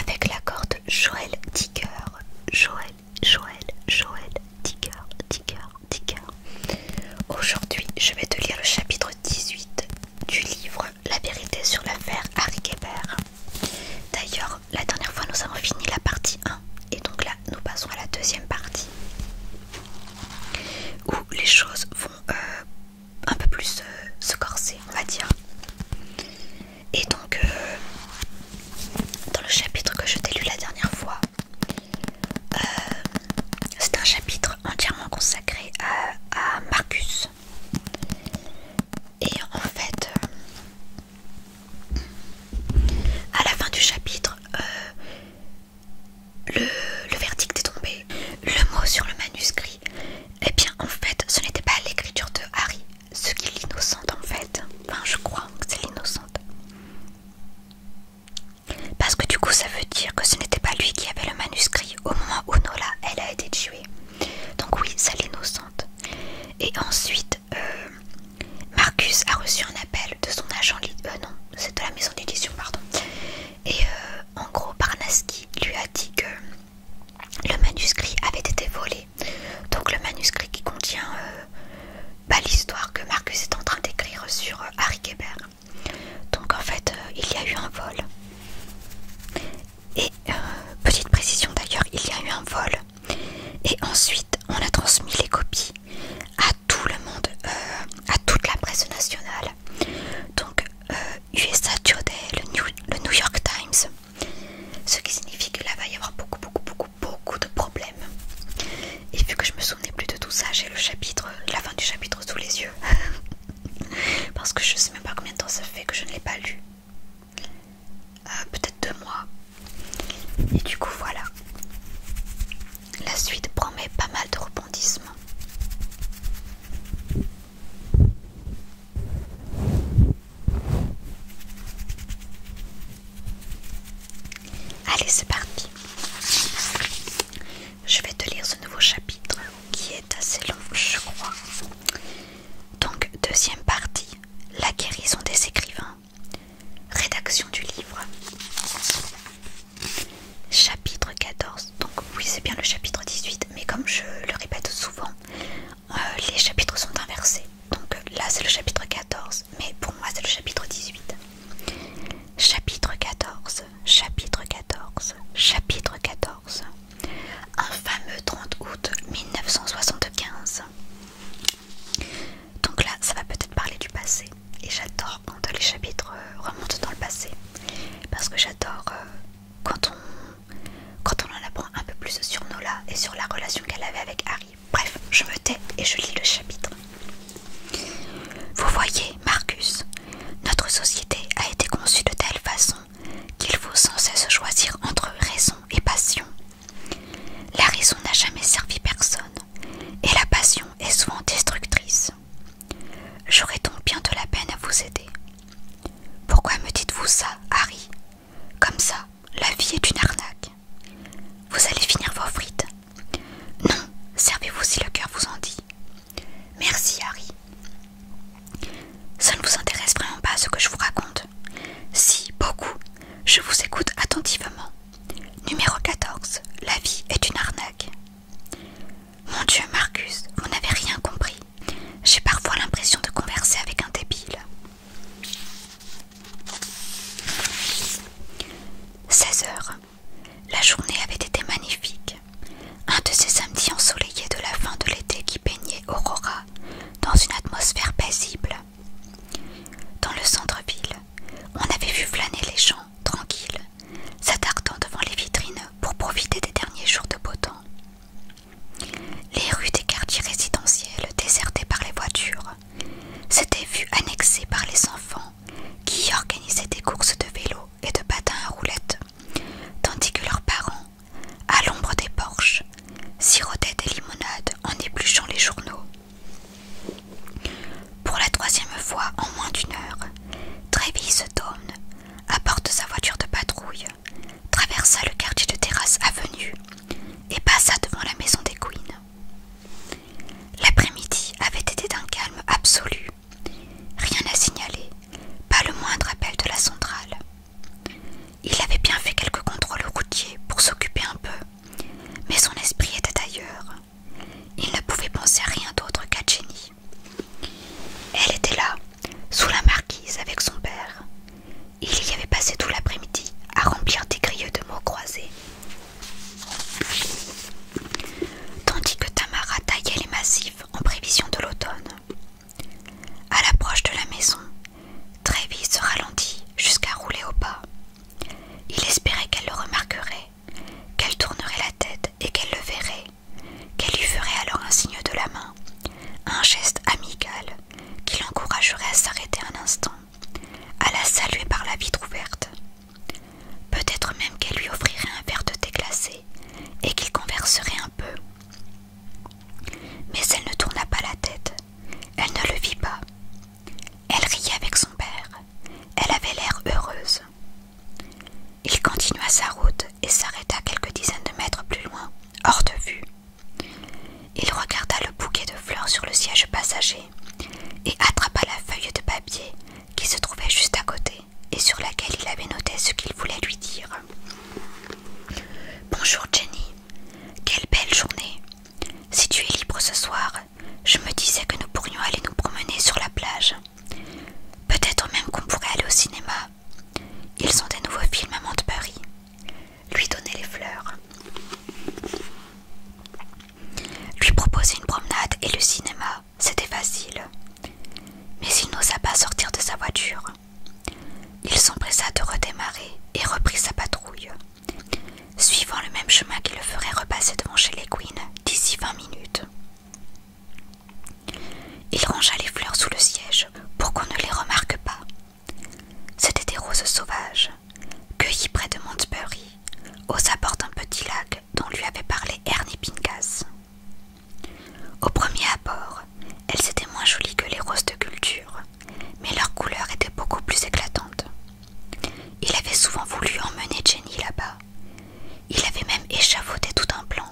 Avec la corde Joël Ticker, Joël, Joël, Joël, Ticker, Ticker, Ticker. Aujourd'hui, je vais te lire le chapitre 18 du livre La vérité sur l'affaire Harry Kebert. D'ailleurs, la dernière fois, nous avons fini la partie 1 et donc là, nous passons à la deuxième partie où les choses vont euh, un peu plus euh, se corser, on va dire. Et donc, euh, dans le chapitre que je t'ai lu la dernière fois, euh, c'est un chapitre entièrement consacré à, Marcus. Et en fait, à la fin du chapitre, le, verdict est tombé. Le mot sur le manuscrit. Eh bien, en fait, ce n'était pas l'écriture de Harry, ce qui l'innocente en fait. Enfin, je crois que c'est l'innocente. Parce que du coup, ça veut dire que ce n'était pas lui qui avait le manuscrit au moment où Nola, elle a été tuée. Donc oui, c'est l'innocente. Et ensuite, euh, Marcus a reçu un appel de son agent, euh, non, c'est de la maison d'édition, pardon, et euh, en gros, Parnaski lui a dit que le manuscrit avait été volé. Donc le manuscrit qui contient euh, bah, l'histoire que Marcus est en train d'écrire sur euh, Harry Gebert. Donc en fait, il y a eu un vol. Et petite précision d'ailleurs, il y a eu un vol. Et ensuite, on a transmis les copies à tout le monde, à toute la presse nationale. Donc USA euh, Today, le New, York Times. Ce qui signifie que là va y avoir beaucoup, beaucoup, beaucoup, beaucoup de problèmes. Et vu que je me souvenais plus de tout ça, j'ai le chapitre, la fin du chapitre sous les yeux. Parce que je sais même pas combien de temps ça fait que je ne l'ai pas lu. Euh, peut-être deux mois. Et du coup, voilà. La suite promet pas mal de Allez, c'est parti. Je vais te lire ce nouveau chapitre qui est assez long, je crois. Donc, deuxième partie, la guérison des écrivains. Rédaction du livre. Chapitre 14, donc oui c'est bien le chapitre 18, mais comme je le répète souvent, euh, les chapitres sont inversés. Donc là c'est le chapitre 14, mais pour moi c'est le chapitre 18. Chapitre 14, chapitre 14, chapitre 14. Un fameux 30 août 1975. Donc là ça va peut-être parler du passé, et j'adore quand les chapitres euh, remontent dans le passé, parce que j'adore euh, quand, on, quand on en apprend un peu plus sur Nola et sur la relation qu'elle avait avec Harry. Bref, je me tais et je lis le chapitre. Vous voyez, Marcus, notre société a été conçue de telle façon qu'il faut sans cesse choisir entre raison et passion. La raison n'a jamais servi personne et la passion est souvent destructrice. J'aurai donc bien de la peine à vous aider. Pourquoi me dites-vous ça, Harry Comme ça, la vie est une arnaque. Vous allez finir vos frites. Non, servez-vous si le cœur vous en dit. Merci, Harry. Ça ne vous intéresse vraiment pas ce que je vous raconte. Si, beaucoup. Je vous écoute attentivement. Numéro 14. La vie est une arnaque. Mon Dieu, Marcus, vous n'avez rien compris. J'ai parfois l'impression de converser avec un débile. 16 heures. La journée avait été magnifique. Un de ces samedis ensoleillés de la fin de l'été qui peignait Aurora dans une atmosphère paisible. Dans le centre-ville, on avait vu flâner les gens tranquilles s'attardant devant les vitrines pour profiter des derniers jours de beau temps. Les rues des quartiers résidentiels désertées par les voitures s'étaient vues annexées par les enfants qui y organisaient des courses de vélo et de patins à roulettes, tandis que leurs parents, à l'ombre des porches, sirotaient des limonades en épluchant les journaux. Pour la troisième fois en moins d'une heure, se donne, apporte sa voiture de patrouille, traversa le quartier de Terrasse Avenue et passa devant la maison des Queen. L'après-midi avait été d'un calme absolu. Rien à signaler, pas le moindre appel de la centrale. Il avait bien fait quelques contrôles routiers pour s'occuper un peu, mais son esprit était ailleurs. Il ne pouvait penser à rien d'autre qu'à Jenny. Elle était là, sous la marquise avec son père. Il y avait passé tout l'après-midi à remplir des grilleux de mots croisés. Tandis que Tamara taillait les massifs en prévision de l'automne. À l'approche de la maison, Trévis se ralentit jusqu'à rouler au pas. Il espérait qu'elle le remarquerait, qu'elle tournerait la tête et qu'elle le verrait qu'elle lui ferait alors un signe de la main, un geste amical qui l'encouragerait à s'arrêter un instant, à la saluer par la vitre ouverte. Peut-être même qu'elle lui offrirait un verre de thé glacé et qu'il converserait un peu. Mais elle ne tourna pas la tête, elle ne le vit pas. Elle riait avec son père, elle avait l'air heureuse. Il continua sa route et s'arrêta quelques dizaines de mètres plus loin, hors de vue. Il regarda le bouquet de fleurs sur le siège passager et attrapa la feuille de papier qui se trouvait juste à côté et sur laquelle il avait noté ce qu'il voulait lui dire. Bonjour Jenny, quelle belle journée. Si tu es libre ce soir, je me disais que nous pourrions aller nous promener sur la plage. Peut-être même qu'on pourrait aller au cinéma. Ils ont des nouveaux films à de Lui donner les fleurs. Lui proposer une promenade et le cinéma, c'était facile. Mais il n'osa pas sortir de sa voiture. Il s'empressa de redémarrer et reprit sa patrouille, suivant le même chemin qui le ferait repasser devant chez les Queens d'ici vingt minutes. Il rangea les fleurs sous le siège pour qu'on ne les remarque pas. C'étaient des roses sauvages, cueillies près de Montsbury, aux abords d'un petit lac dont lui avait parlé Ernie Pincas. Au premier abord, elles étaient moins jolies que les roses de culture, mais leur couleur était beaucoup plus éclatante. Il avait souvent voulu emmener Jenny là-bas. Il avait même échafaudé tout un plan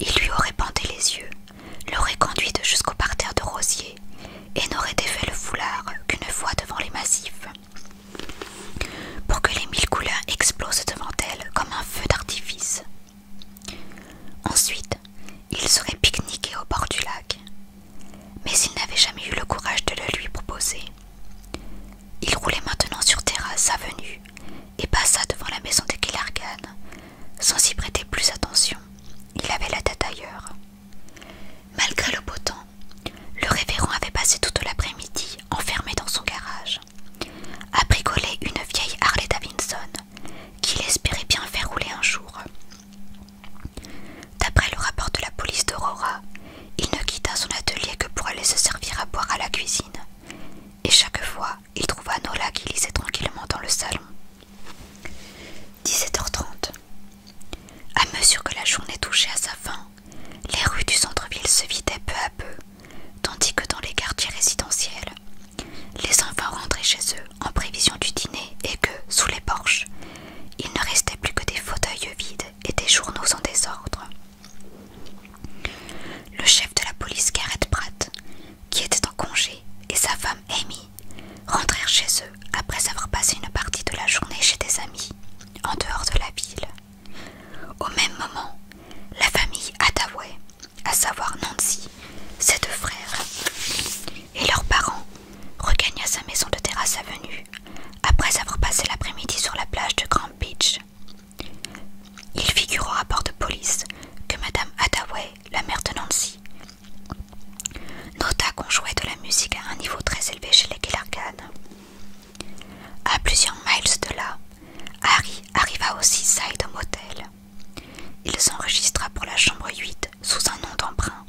il lui aurait bandé les yeux, l'aurait conduite jusqu'au parterre de rosiers et n'aurait défait le foulard qu'une fois devant les massifs, pour que les mille couleurs explosent devant elle comme un feu d'artifice. Ensuite, il serait pique-niqué au bord du lac, mais il n'avait jamais eu le courage de le lui proposer. Il roulait maintenant sur terrasse avenue, et passa devant la maison de Killargan, sans y prêter plus attention. Il avait la tête ailleurs. Malgré le beau temps, le révérend avait passé toute l'après-midi enfermé dans son garage, à bricoler une vieille Harley Davidson qu'il espérait bien faire rouler un jour. D'après le rapport de la police d'Aurora, il ne quitta son atelier que pour aller se servir à boire à la cuisine, et chaque fois il trouva Nola qui lisait tranquillement dans le salon. 17h30. À mesure que la journée touchait à sa fin, les rues du centre-ville se vidaient peu à peu, tandis que dans les quartiers résidentiels, les enfants rentraient chez eux en prévision du dîner et que, sous les porches, il ne restait plus que des fauteuils vides et des journaux en désordre. Le chef de la police Garrett Pratt, qui était en congé, et sa femme Amy rentrèrent chez eux après avoir passé une partie de la journée chez des amis, en dehors de la ville. Au même moment, la famille Hathaway, à savoir Nancy, ses deux frères et leurs parents, regagna sa maison de terrasse avenue après avoir passé l'après-midi sur la plage de Grand Beach, il figure au rapport de police que Madame Hathaway, la mère de Nancy, nota qu'on jouait de la musique à un niveau très élevé chez les Kellargan. À plusieurs miles de là, Harry arriva au d'un Motel. Il s'enregistra pour la chambre 8 sous un nom d'emprunt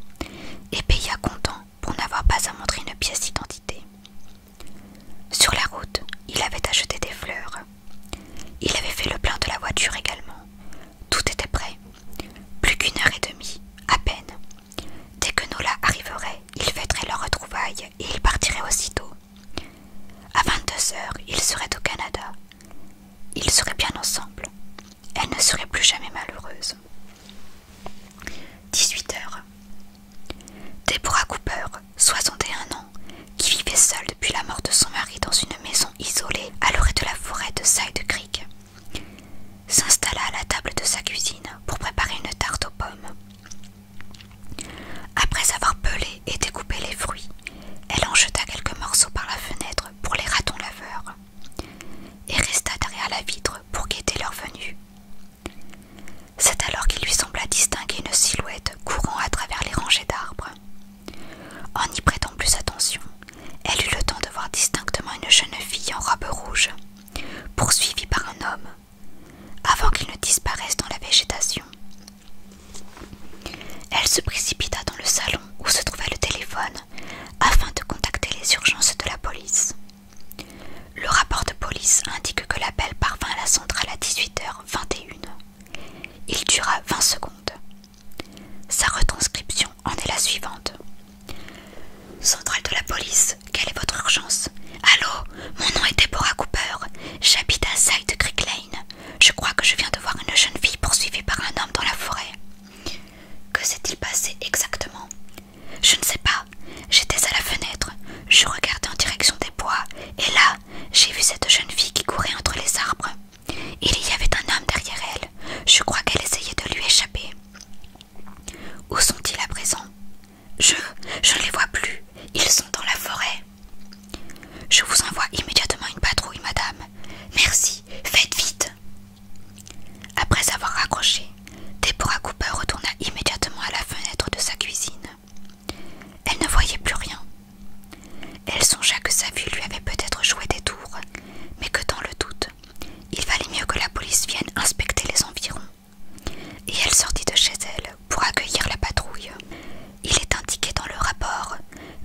et paya comptant pour n'avoir pas à montrer une pièce d'identité. Sur la route, il avait acheté des fleurs. Il avait fait le plein de la voiture également. Tout était prêt. Plus qu'une heure et demie, à peine. Dès que Nola arriverait, il fêterait leur retrouvaille et il partirait aussitôt. À 22 heures, il serait au Canada. Ils seraient bien ensemble. Elle ne serait plus jamais malheureuse. 18 heures. Deborah Cooper, 61 ans, qui vivait seule depuis la mort de son mari dans une maison isolée à l'orée de la forêt de Side Creek, s'installa à la table de sa cuisine pour préparer une tarte aux pommes. Après avoir pelé et découpé les fruits, elle en jeta quelques morceaux par la fenêtre pour les ratons laveurs et resta derrière la vitre pour guetter leur venue. C'est alors qu'il lui sembla distinguer une silhouette courant à travers les rangées d'arbres. En y prêtant plus attention, elle eut le temps de voir distinctement une jeune fille en robe rouge, poursuivie par un homme, avant qu'il ne disparaisse dans la végétation. Elle se précipita dans le salon où se trouvait le téléphone afin de contacter les urgences de la police. Le rapport de police indique que l'appel parvint à la centrale à 18h21 il dura 20 secondes. Sa retranscription en est la suivante. Central de la police, quelle est votre urgence Allô, mon nom est Deborah Cooper. J'habite à Side Creek Lane. Je crois que je viens de voir une jeune fille poursuivie par un homme dans la forêt. Que s'est-il passé exactement Je ne sais pas. J'étais à la fenêtre. Je regardais en direction des bois. Et là, j'ai vu cette jeune fille qui courait entre les arbres. Il y avait un homme derrière elle. Je crois qu'elle essayait de lui échapper. Où sont-ils à présent Je... je ne les vois plus. Ils sont dans la forêt. Je vous envoie immédiatement une patrouille, madame. Merci. Faites vite. Après avoir raccroché, Deborah Cooper retourna immédiatement à la fenêtre de sa cuisine. Elle ne voyait plus rien. Elle songea que sa vue lui avait peut-être joué des tours, mais que dans le doute, il valait mieux que la police vienne inspecter les environs. Et elle sortit de chez elle pour accueillir la patrouille. Il est indiqué dans le rapport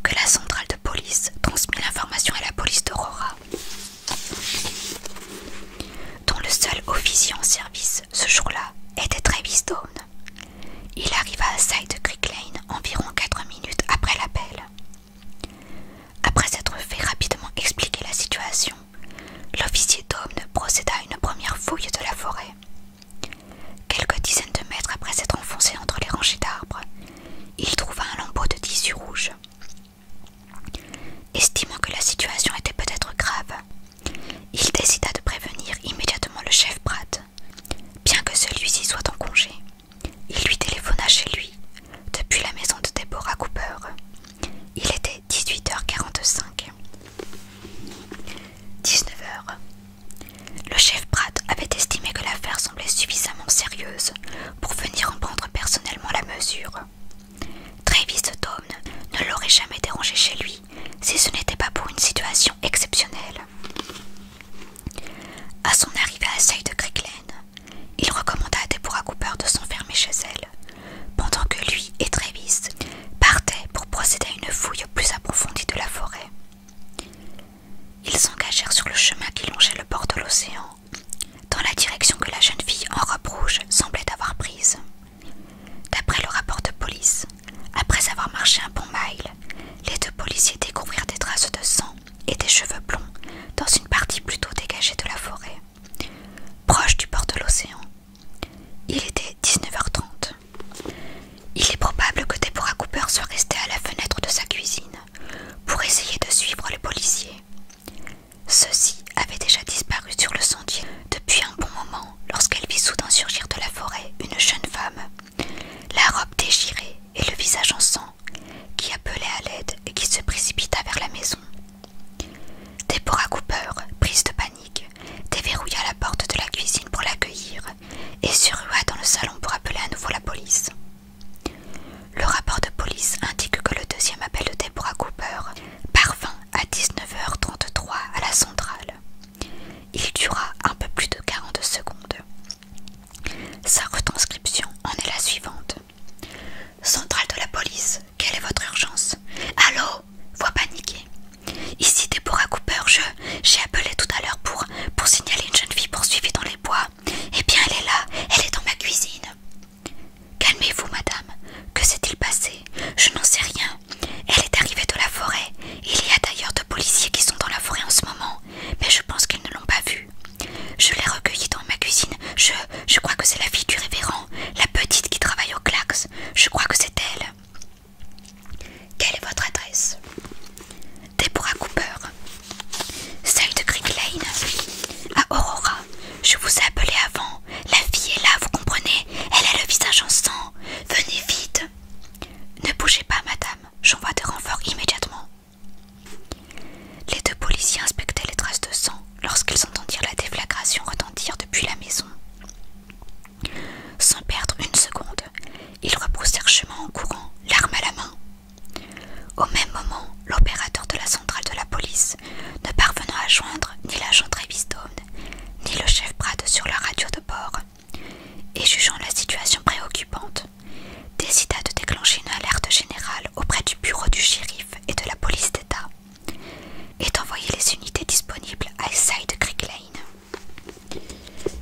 que la centrale de police transmit l'information à la police d'Aurora, dont le seul officier en service ce jour-là était Travis Stone. Il arriva à Side Creek Lane environ quatre minutes après l'appel. Après s'être fait rapidement expliquer la situation, l'officier d'homme procéda à une première fouille de la forêt. Quelques dizaines de mètres après s'être enfoncé entre les rangées d'arbres, il trouva un lambeau de tissu rouge. Estimant que la situation était peut-être grave, il décida de prévenir immédiatement le chef Pratt bien que celui-ci soit en congé. Il lui téléphona chez lui, depuis la maison de Deborah Cooper. Il était 18h45. 19h. Le chef Pratt avait estimé que l'affaire semblait suffisamment sérieuse pour venir en prendre personnellement la mesure. Travis Tom ne l'aurait jamais dérangé chez lui si ce n'était pas pour une situation exceptionnelle. À son arrivée à Seuil de Cricklen, il recommanda à Deborah Cooper de s'enfermer chez elle, pendant que lui et Travis partaient pour procéder à une fouille plus approfondie de la forêt. Ils s'engagèrent sur le chemin qui longeait le bord de l'océan, dans la direction que la jeune fille en robe rouge semblait avoir prise. D'après le rapport de police, après avoir marché un bon mile, les deux policiers découvrirent des traces de sang et des cheveux blonds dans une partie plutôt dégagée de la forêt, proche du port de l'océan. Il était 19h30. Il est probable que Deborah Cooper soit restée à la fenêtre de sa cuisine pour essayer de suivre les policiers. Ceux-ci avaient déjà disparu sur le sentier depuis un bon moment lorsqu'elle vit soudain surgir de la forêt une jeune femme la robe déchirée et le visage en sang, qui appelait à l'aide et qui se précipita vers la maison. Deborah Cooper, prise de panique, déverrouilla la porte de la cuisine pour l'accueillir et se dans le salon pour appeler à nouveau la police. Le rapport de police indique que le deuxième appel de Deborah Cooper parvint à 19h33 à la centrale il dura un peu plus de 40 secondes. Sa retranscription en est la suivante. Centrale de la police, quelle est votre urgence Allô Voix paniquée. Ici Deborah Cooper, je. J'ai appelé tout à l'heure pour, pour signaler une jeune fille poursuivie dans les bois. Eh bien, elle est là, elle est dans ma cuisine. Calmez-vous, madame. Que s'est-il passé Je n'en sais rien. Elle est arrivée de la forêt. Il y a d'ailleurs deux policiers qui sont dans la forêt en ce moment, mais je pense qu'ils ne l'ont pas vue. Je l'ai recueillie dans ma cuisine. Je, crois que c'est la fille du révérend, la petite qui travaille au Clax. Je crois que c'est elle. Quelle est votre adresse Deborah Cooper. Celle de Creek Lane. À Aurora. Je vous ai appelé avant. La fille est là, vous comprenez Elle a le visage en sang. Venez vite. Ne bougez pas, madame j'envoie des renforts immédiatement. Les deux policiers inspectaient les traces de sang lorsqu'ils entendirent la déflagration retentir depuis la maison. Sans perdre une seconde, ils rebroussèrent chemin en courant, l'arme à la main. Au même moment, l'opérateur de la centrale de la police, ne parvenant à joindre ni l'agent Trevistone, ni le chef Brad sur la radio de bord, et jugeant la situation préoccupante, décida de déclencher une alerte générale auprès du bureau du shérif et de la police d'État et d'envoyer les unités disponibles à de Creek Lane.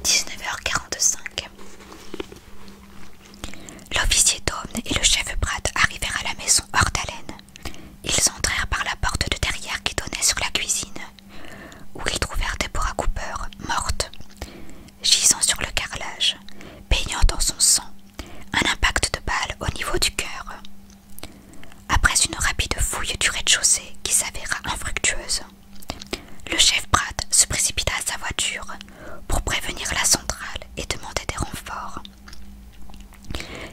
19h45 L'officier Daum et le chef Pratt arrivèrent à la maison hors d'haleine. Ils entrèrent par la porte de derrière qui donnait sur la cuisine où ils trouvèrent Deborah Cooper morte, gisant sur le carrelage, baignant dans son sang, un impact de balle au niveau du cœur. Après une rapide fouille du rez-de-chaussée qui s'avéra infructueuse, le chef Pratt se précipita à sa voiture pour prévenir la centrale et demander des renforts.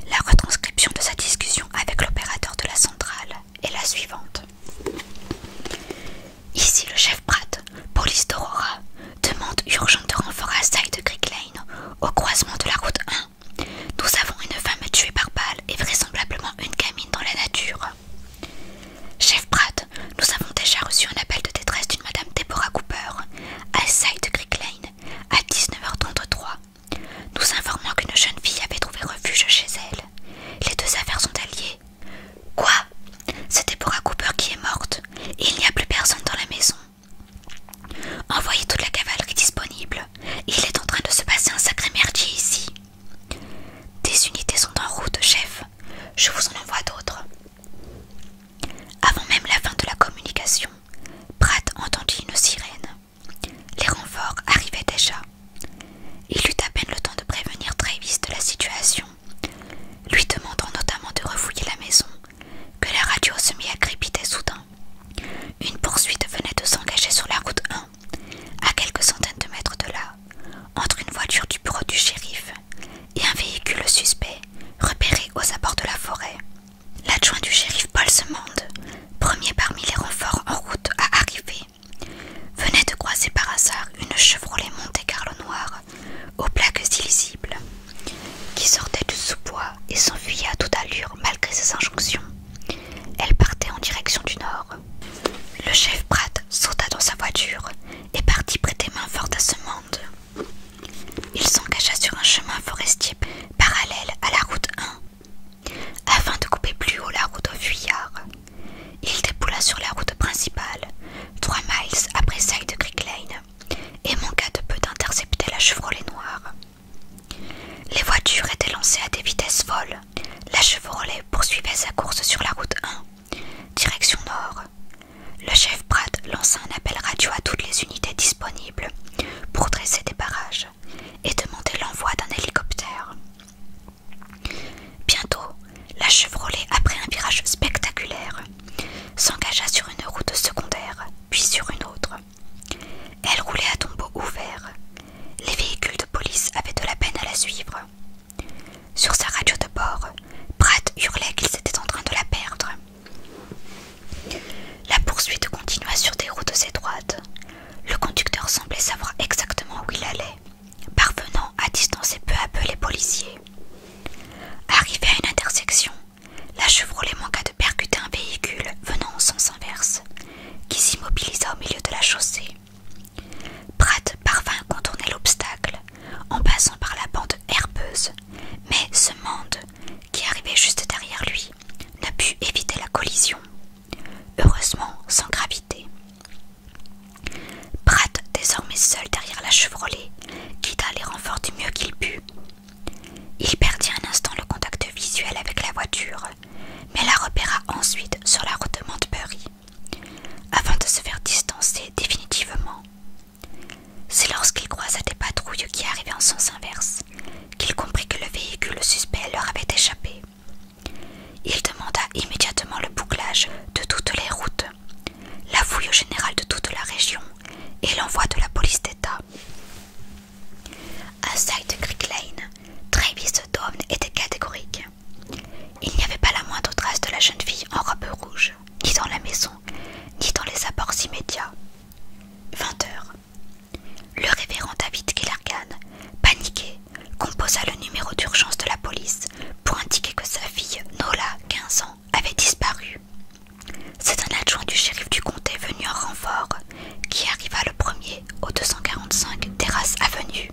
La retranscription de sa discussion avec l'opérateur de la centrale est la suivante. Ici le chef Pratt, police d'Aurora, demande urgente de renfort à Side Creek Lane, au croisement de la route 1. Nous avons une femme tuée par balle et vraisemblablement une gamine dans la nature. Chef Pratt, nous avons déjà reçu un appel de détresse d'une madame Deborah Cooper, à Side Creek Lane, à 19h33. Nous informons qu'une jeune fille avait trouvé refuge chez elle. Les deux affaires sont alliées Quoi C'était un Cooper qui est morte et il n'y a plus personne dans la maison. Envoyez toute la cavalerie disponible. Il est en train de se passer un sacré merdier ici. Des unités sont en route, chef. Je vous en envoie d'autres. Avant même la fin de la communication, Pratt entendit une sirène. Les renforts arrivaient déjà. Il eut à peine le temps de prévenir Travis de la situation, lui demandant notamment de refouiller la maison, que la radio se mit à crépiter soudain. Une poursuite venait de s'engager sur la route 1, à quelques centaines de mètres de là, entre une voiture du bureau du shérif et un véhicule suspect repéré aux abords de la forêt. L'adjoint du shérif Paul se premier parmi les renforts en route à arriver, venait de croiser par hasard une Chevrolet Monte Carlo noire aux plaques illisibles qui sortait du sous-bois et s'enfuyait à toute allure malgré ses injonctions. Elle partait en direction du nord. Le chef Pratt sauta dans sa voiture et partit prêter main forte à ce monde. Il s'engagea sur un chemin forestier parallèle à la route 1 afin de couper plus haut la route au fuyard. Il déboula sur la route principale, trois miles après celle de Creek Lane, et manqua de peu d'intercepter la Chevrolet noire. Les voitures étaient lancées à des vitesses folles. La Chevrolet poursuivait sa course sur la route 1, direction nord. Le chef Pratt lança un appel radio à toutes les unités disponibles pour dresser des barrages et demander l'envoi d'un hélicoptère. Bientôt, la Chevrolet, après un virage spectaculaire, s'engagea sur une route secondaire, puis sur une autre. Elle roulait à tombeau ouvert. Les véhicules de police avaient de la peine à la suivre. Sur sa radio de bord, Pratt hurlait qu'ils étaient en train de la perdre. La poursuite continua sur des routes étroites. Le conducteur semblait savoir exactement où il allait parvenant à distancer peu à peu les policiers. Arrivé à une intersection, la Chevrolet manqua de percuter un véhicule venant en sens inverse, qui s'immobilisa au milieu de la chaussée. Pratt parvint à contourner l'obstacle en passant par la bande herbeuse, mais ce monde, qui arrivait juste derrière lui, ne put éviter la collision heureusement sans gravité. Pratt, désormais seul derrière la Chevrolet, guida les renforts du mieux qu'il put. Il perdit un instant le contact visuel avec la voiture, mais la repéra ensuite sur la route de Montbury, avant de se faire distancer définitivement. C'est lorsqu'il croisa des patrouilles qui arrivaient en sens inverse qu'il comprit que le véhicule suspect leur avait échappé. Il demanda immédiatement le bouclage de toutes les routes, la fouille générale de toute la région et l'envoi de la police d'État. À Side Creek Lane, Travis Dawn était catégorique. Il n'y avait pas la moindre trace de la jeune fille en robe rouge, ni dans la maison, ni dans les apports immédiats. 20 heures. Le révérend David Killargan paniqué, composa le numéro d'urgence de la police pour indiquer que sa fille, Nola, 15 ans, avait disparu. C'est un adjoint du shérif du comté venu en renfort qui arriva le premier au 245 Terrasse Avenue.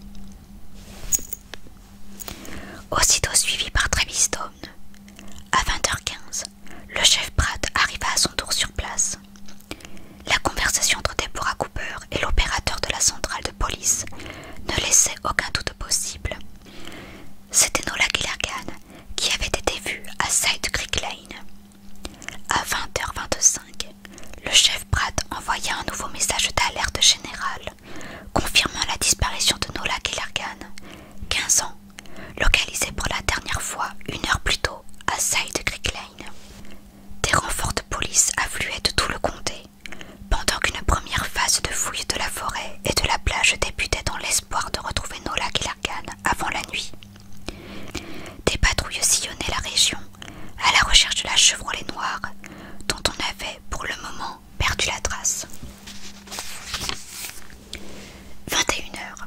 Aussitôt suivi par Travis Stone, à 20h15, le chef Pratt arriva à son tour sur place. La conversation entre Deborah Cooper et l'opérateur de la centrale de police ne laissait aucun doute possible. C'était Nola Gillargan qui avait été vue à Side Creek Lane. À 20h25, le chef Pratt envoya un nouveau message d'alerte générale confirmant la disparition de Nola Gillargan, 15 ans, localisée pour la dernière fois une heure plus tôt à Side Creek Lane. Des renforts de police affluaient de tout le comté pendant qu'une première phase de fouille de la forêt et de la plage débutait dans l'espoir de retrouver Nola et l'Arcane avant la nuit. Des patrouilles sillonnaient la région à la recherche de la chevrolet noire dont on avait, pour le moment, perdu la trace. 21h.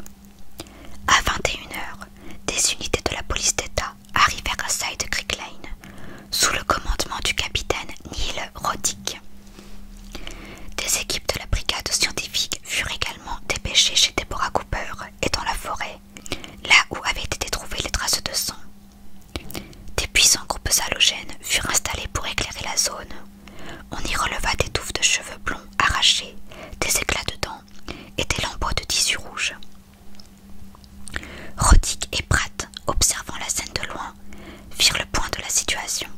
À 21h, des unités de la police d'État arrivèrent à Side Creek Lane sous le commandement du capitaine Neil Roddick. Des équipes de la brigade scientifique furent également dépêchées chez Deborah Cooper et dans la forêt, là où avaient été trouvées les traces de sang. Des puissants groupes halogènes furent installés pour éclairer la zone. On y releva des touffes de cheveux blonds arrachés, des éclats de dents et des lambeaux de tissu rouge. Roddick et Pratt, observant la scène de loin, firent le point de la situation.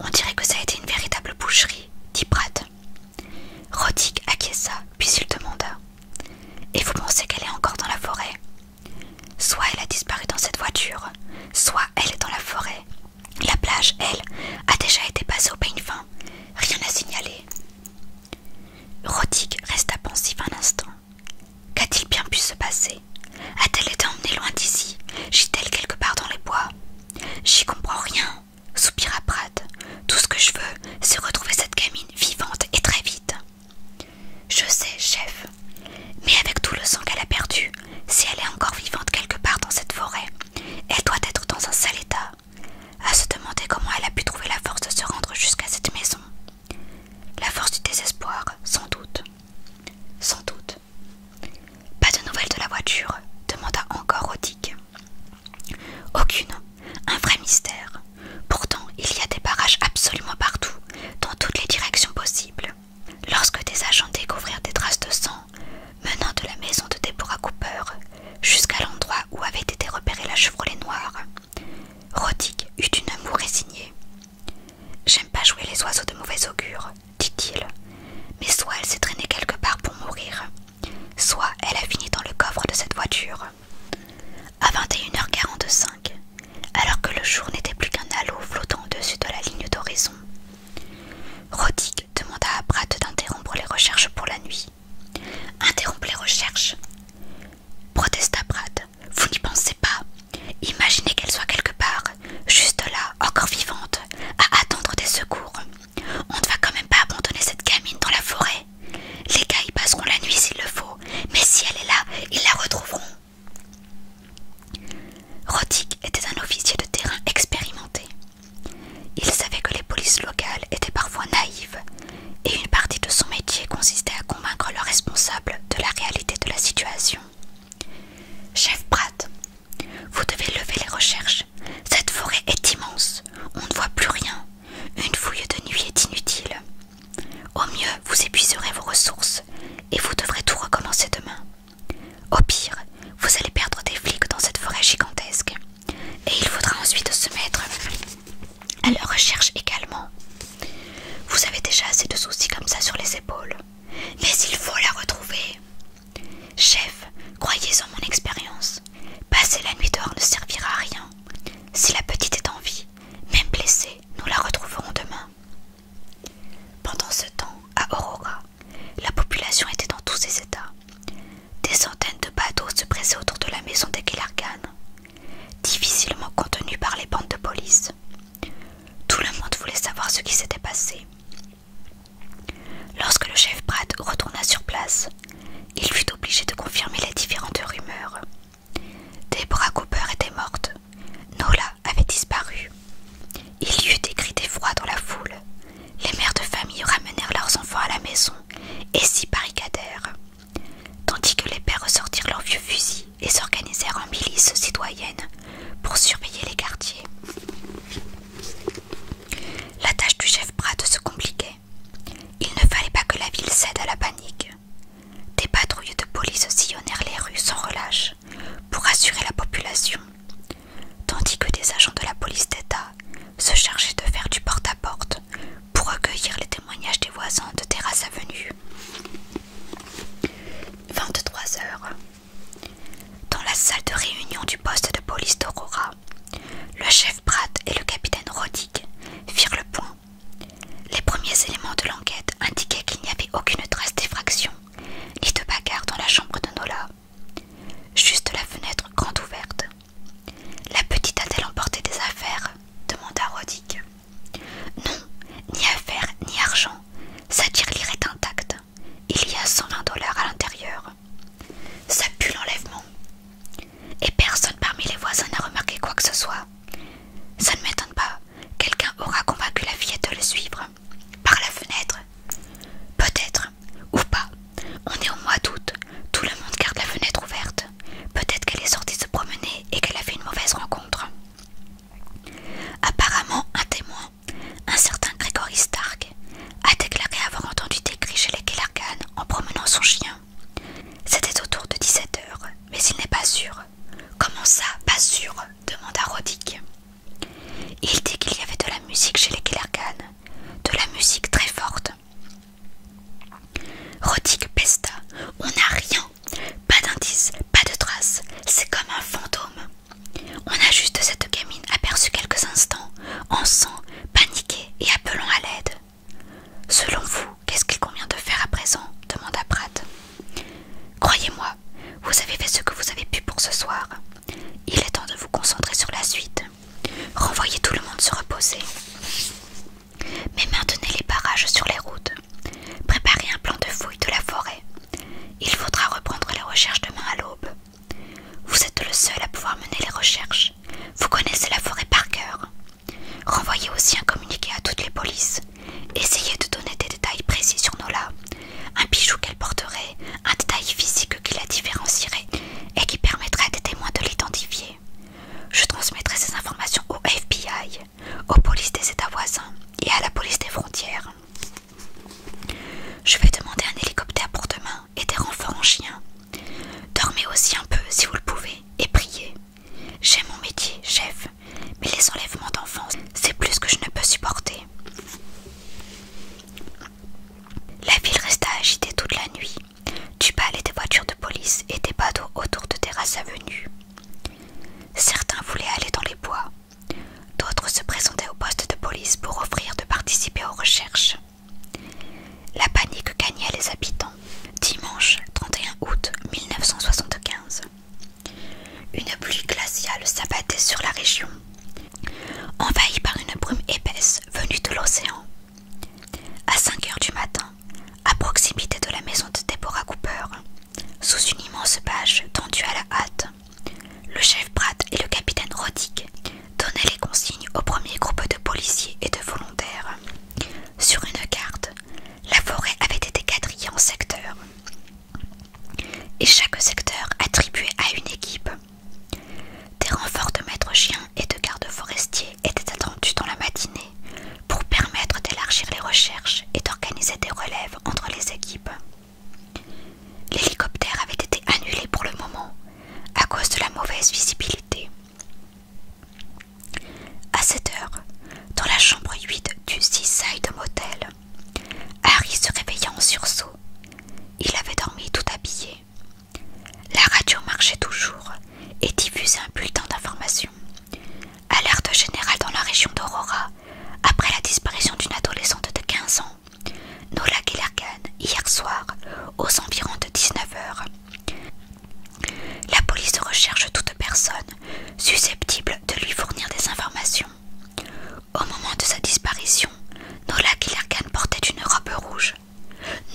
On dirait que ça a été une véritable boucherie, dit Pratt. Roddick acquiesça, puis il demanda Et vous pensez qu'elle est encore dans la forêt Soit elle a disparu dans cette voiture, soit elle est dans la forêt. La plage, elle, a déjà été passée au peigne fin. Rien n'a signalé Roddick resta pensif un instant. Qu'a-t-il bien pu se passer A-t-elle été emmenée loin d'ici Gît-elle quelque part dans les bois J'y comprends rien, soupira Pratt. Tout ce que je veux, c'est retrouver cette gamine vivante et très vite. Je sais, chef, mais avec tout le sang qu'elle a perdu, si elle est encore vivante quelque part dans cette forêt, elle doit être dans un sale état. À se demander comment elle a pu trouver la force de se rendre jusqu'à cette maison. La force du désespoir, sans doute. Sans doute. Pas de nouvelles de la voiture demanda encore Odic. Aucune. Un vrai mystère. Pourtant, il y a des barrages absolument partout, dans toutes les directions possibles. Lorsque des agents découvrirent des traces de sang menant de la maison de Deborah Cooper jusqu'à l'endroit où avait été repérée la Chevrolet noire, Rodig eut une amour résignée. J'aime pas jouer les oiseaux de mauvais augure, dit-il, mais soit elle s'est traînée quelque part pour mourir, soit elle a fini dans le coffre de cette voiture. À 21h45, alors que le jour n'était plus qu'un halo flottant au-dessus de la ligne d'horizon, Roddick demanda à Pratt d'interrompre les recherches pour la nuit. Interrompre les recherches protesta Pratt. Vous n'y pensez pas. Imaginez qu'elle soit quelque part, juste là, encore vivante, à attendre des secours. On ne va quand même pas abandonner cette gamine dans la forêt. Les gars y passeront la nuit s'il le faut, mais si elle est là, ils la retrouveront. Roddick était un officier de terrain expérimenté. Il savait que les polices locales étaient parfois naïves, et une partie de son métier consistait à convaincre le responsable de la réalité de la situation. Chef Pratt, vous devez lever les recherches. Cette forêt est immense. On ne voit plus rien. Une fouille de nuit est inutile. Au mieux, vous épuiserez vos ressources et vous devrez tout recommencer demain. Au pire, vous allez perdre des flics dans cette forêt gigantesque. Et il faudra ensuite se mettre elle le recherche également. Vous avez déjà assez de soucis comme ça sur les épaules. Mais il faut la retrouver. Chef, croyez en mon expérience. Passer la nuit dehors ne servira à rien. Si la petite est en vie, même blessée, nous la retrouverons demain. Pendant ce temps, à Aurora, la population était dans tous ses états. Des centaines de bateaux se pressaient autour de la maison des difficilement contenue par les bandes de police. Tout le monde voulait savoir ce qui s'était passé. Lorsque le chef Pratt retourna sur place, il fut obligé de confirmer les différentes rumeurs. Deborah Cooper était morte. Nola avait disparu. Il y eut des cris d'effroi dans la foule. Les mères de famille ramenèrent leurs enfants à la maison et s'y barricadèrent tandis que les pères ressortirent leurs vieux fusils et s'organisèrent en milice citoyenne pour surveiller les quartiers. La tâche du chef Pratt se compliquait. Il ne fallait pas que la ville cède à la panique. Des patrouilles de police sillonnèrent les rues sans relâche pour assurer la population, tandis que des agents de la police d'État se chargeaient de faire du porte-à-porte pour recueillir les des voisins de Terrasse Avenue. 23 heures. Dans la salle de réunion du poste de police d'Aurora, le chef Pratt et le capitaine Roddick firent le point. Les premiers éléments de l'enquête indiquaient qu'il n'y avait aucune trace d'effraction ni de bagarre dans la chambre de Nola. Juste la fenêtre grande ouverte. La petite a-t-elle emporté des affaires demanda Roddick. Non, ni affaires ni argent. Sa tirelire est intacte. Il y a 120 dollars à l'intérieur. Ça pue l'enlèvement. Et personne parmi les voisins n'a remarqué quoi que ce soit. Ça ne m'étonne pas. Quelqu'un aura convaincu la fillette de le suivre. Par la fenêtre. Peut-être. Ou pas. On est au mois d'août. Tout le monde garde la fenêtre ouverte. Peut-être qu'elle est sortie se promener et qu'elle a fait une mauvaise rencontre. Apparemment, un témoin, un certain Grégory Stark, a déclaré avoir entendu des cris chez les Kellargan en promenant son chien. C'était autour de 17 heures, mais il n'est pas sûr. Comment ça, pas sûr demanda Roddick. Il dit qu'il y avait de la musique chez les Kellergan, de la musique très forte. Roddick pesta. On n'a rien pas d'indice, pas de traces, c'est comme un fantôme. On a juste cette gamine aperçue quelques instants, en sang, paniquée et appelant à l'aide. Selon vous, qu'est-ce qu'il convient de faire à présent demanda Pratt. Croyez-moi, vous avez fait ce que vous avez pu pour ce soir. Il est temps de vous concentrer sur la suite. Renvoyez tout le monde se reposer. Mais maintenez les barrages sur les routes. Préparez un plan de fouille de la forêt. Il faudra reprendre les recherches demain à l'aube. Vous êtes le seul à pouvoir mener les recherches. Vous connaissez la forêt par cœur. Renvoyez aussi un communiqué à toutes les polices. Essayez de donner des détails précis sur Nola. Un bijou qu'elle porterait, un détail physique qui la différencierait et qui permettrait à des témoins de l'identifier. Je transmettrai ces informations au FBI aux polices des États voisins et à la police des frontières. Je vais demander un hélicoptère pour demain et des renforts en chien. Dormez aussi un peu si vous le pouvez et priez. J'ai mon métier, chef, mais les enlèvements d'enfants, c'est plus que je ne peux supporter. La ville resta agitée toute la nuit. Du bal et des voitures de police et des bateaux autour de terrasses avenues. Certains voulaient aller dans les bois, d'autres se présentaient au poste de police pour offrir de participer aux recherches. La panique gagnait les habitants. Dimanche 31 août 1975. Une pluie glaciale s'abattait sur la région, envahie par une brume épaisse venue de l'océan. À 5 heures du matin, à proximité de la maison de Deborah Cooper, sous une immense bâche tendue à la hâte. Le chef Pratt et le capitaine Roddick donnaient les consignes au premier groupe de policiers et de volontaires. Sur une carte, la forêt avait été quadrillée en secteurs, et chaque secteur attribué à une équipe. Des renforts de maîtres chiens et de gardes forestiers étaient attendus dans la matinée pour permettre d'élargir les recherches et d'organiser des relèves entre les équipes. L'hélicoptère avait été annulé pour le moment à cause de la mauvaise visibilité. À cette heure, dans la chambre 8 du Seaside Motel, Harry se réveilla en sursaut. Il avait dormi tout habillé. La radio marchait toujours et diffusait un bulletin d'information. Alerte générale dans la région d'Aurora, après la disparition d'une adolescente de 15 ans, Nola Gilergan, hier soir, aux environs de 19h. La police recherche toute personne susceptible de lui fournir des informations. Au moment de sa disparition, Nola Gilergan portait une robe rouge.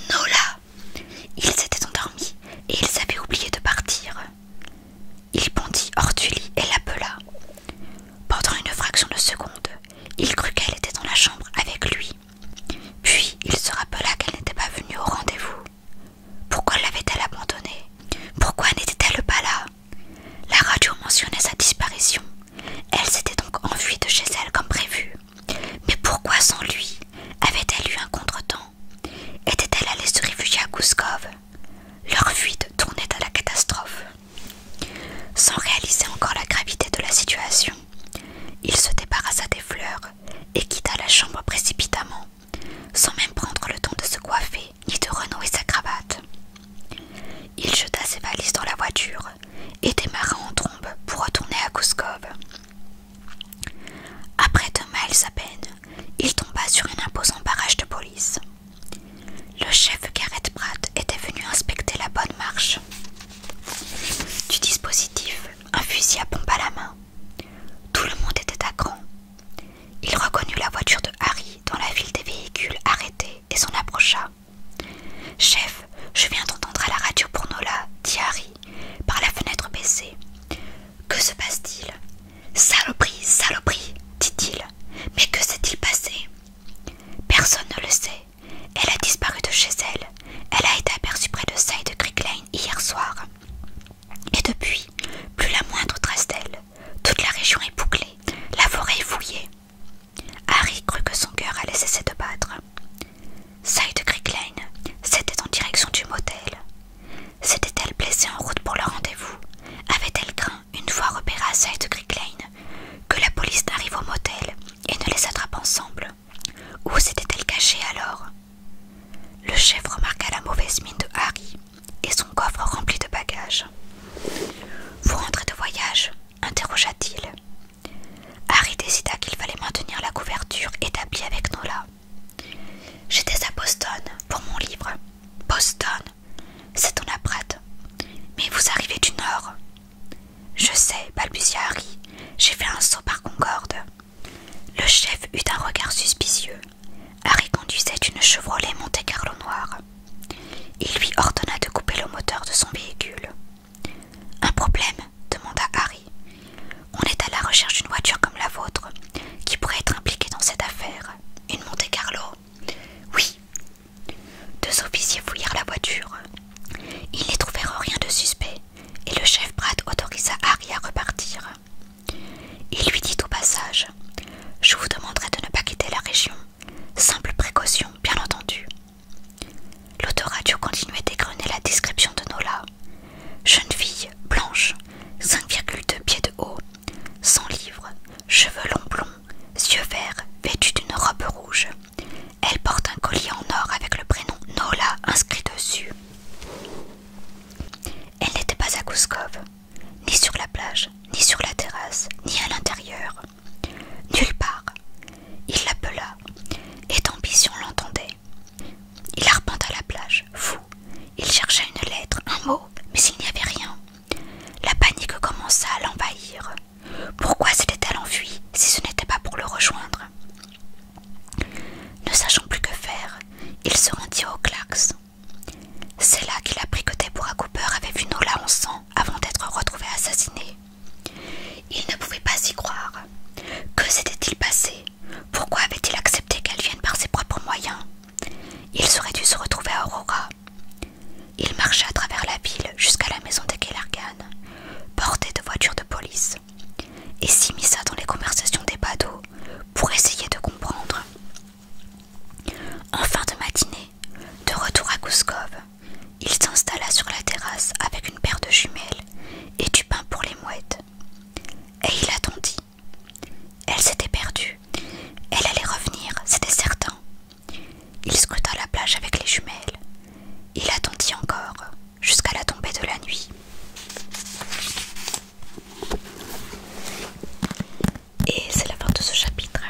Nola Ils s'était endormis et ils avaient oublié de partir. Il bondit hors du lit et l'appela. Pendant une fraction de seconde, il crut qu'elle était dans la chambre avec lui. Puis il se rappela qu'elle n'était pas venue au rendez-vous. Pourquoi l'avait-elle abandonnée Pourquoi n'était-elle pas là La radio mentionnait sa disparition. Elle s'était donc enfuie de chez elle comme prévu. Mais pourquoi sans lui Avait-elle eu un contretemps Était-elle allée se réfugier à Kouskov leur fuite tournait à la catastrophe. Sans réaliser encore la gravité de la situation, il se débarrassa des fleurs et quitta la chambre précipitamment, sans même prendre le temps de se coiffer ni de renouer sa cravate. Il jeta ses valises dans la voiture et démarra en trombe pour retourner à Kouskov. Après deux miles à peine, il tomba sur un imposant barrage de police. Le chef Garrett Pratt était venu inspecter la bonne marche du dispositif, un fusil à pompe à la main. Tout le monde était à cran. Il reconnut la voiture de Harry dans la ville des véhicules arrêtés et s'en approcha. Chef, je viens d'entendre à la radio pour Nola, dit Harry, par la fenêtre baissée. Que se passe-t-il Saloperie, saloperie, dit-il. Mais que s'est-il passé Personne ne le sait. Elle a disparu de chez elle. Elle a été aperçue près de Side de hier soir. Et depuis, plus la moindre trace d'elle. Toute la région est bouclée, la forêt est fouillée. Harry crut que son cœur allait cesser de battre. Side Creek Lane, c'était en direction du motel. S'était-elle blessée en route pour le rendez-vous Avait-elle craint, une fois repérée à Side Creek que la police n'arrive au motel et ne les attrape ensemble Où s'était-elle cachée alors Le chef remarqua la mauvaise mine de Harry et son coffre rempli de bagages. Vous rentrez de voyage interrogea-t-il. Harry décida qu'il fallait maintenir la couverture établie avec Nola. J'étais à Boston pour mon livre. Boston c'est ton la Mais vous arrivez du nord. Je sais, balbutia Harry. J'ai fait un saut par Concorde. Le chef eut un regard suspicieux. Harry conduisait une Chevrolet Monte Carlo noire. Il lui ordonna de couper le moteur de son véhicule. Un problème demanda Harry. On est à la recherche d'une voiture comme la vôtre qui pourrait être impliquée dans cette affaire. Une Monte Carlo Oui. Deux officiers fouillèrent la voiture. Ils n'y trouvèrent rien de suspect et le chef Brad autorisa Harry à repartir. Il lui dit au passage Je vous demanderai de ne pas quitter la région. Simple précaution, bien entendu. L'autoradio continuait d'égrener la description de Nola. Jeune fille, blanche, 5,2 pieds de haut, sans livre, cheveux longs blonds, yeux verts, vêtue d'une robe rouge. Elle porte un collier en or avec le prénom Nola inscrit dessus. Elle n'était pas à Kouskov, ni sur la plage, ni sur la terrasse, ni à l'intérieur. Nulle part. Il l'appela, et d'ambition l'entendait. Il arpenta la plage, fou. Il chercha une lettre, un mot, mais il n'y avait rien. La panique commença à l'envahir. Pourquoi s'était-elle enfuie si ce n'était pas pour le rejoindre Ne sachant plus que faire, il se rendit au Klax. C'est là qu'il apprit que Deborah Cooper avait vu Nola en sang avant d'être retrouvé assassiné. Il ne pouvait pas y croire. Que s'était-il passé Pourquoi avait-il accepté qu'elle vienne par ses propres moyens il serait dû se retrouver à Aurora. Il marcha à travers la ville jusqu'à la maison de Kellergan, porté de voitures de police, et s'immisa dans les conversations des badauds pour essayer de comprendre. En fin de matinée, de retour à Kouskov, il s'installa sur la terrasse avec une paire de jumelles et du pain pour les mouettes. Et il attendit, elle s'était perdue. Elle allait revenir, c'était certain. Il scruta la plage avec les jumelles. Il attendit encore, jusqu'à la tombée de la nuit. Et c'est la fin de ce chapitre.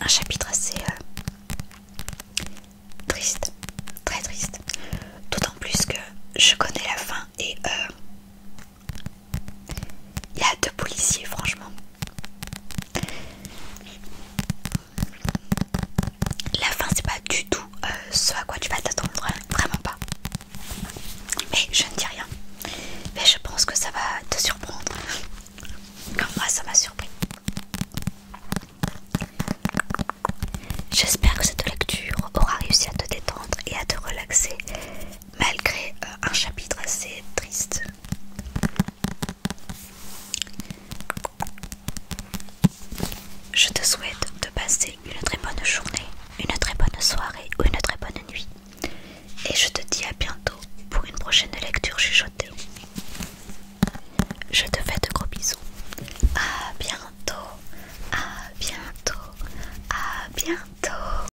Un chapitre assez euh, triste, très triste. D'autant plus que je connais la fin et euh, il y a deux policiers, franchement. La fin, c'est pas du tout euh, ce à quoi tu vas t'attendre, vraiment pas. Mais je ne dis rien. Mais je pense que ça va te surprendre. Comme moi, ça m'a surpris. J'espère que cette lecture aura réussi à te détendre et à te relaxer malgré euh, un chapitre assez triste. Je te souhaite de passer une très bonne journée, une très bonne soirée ou une très bonne nuit. Et je te dis à bientôt pour une prochaine lecture chuchotée. Je te fais de gros bisous. À bientôt, à bientôt, à bientôt.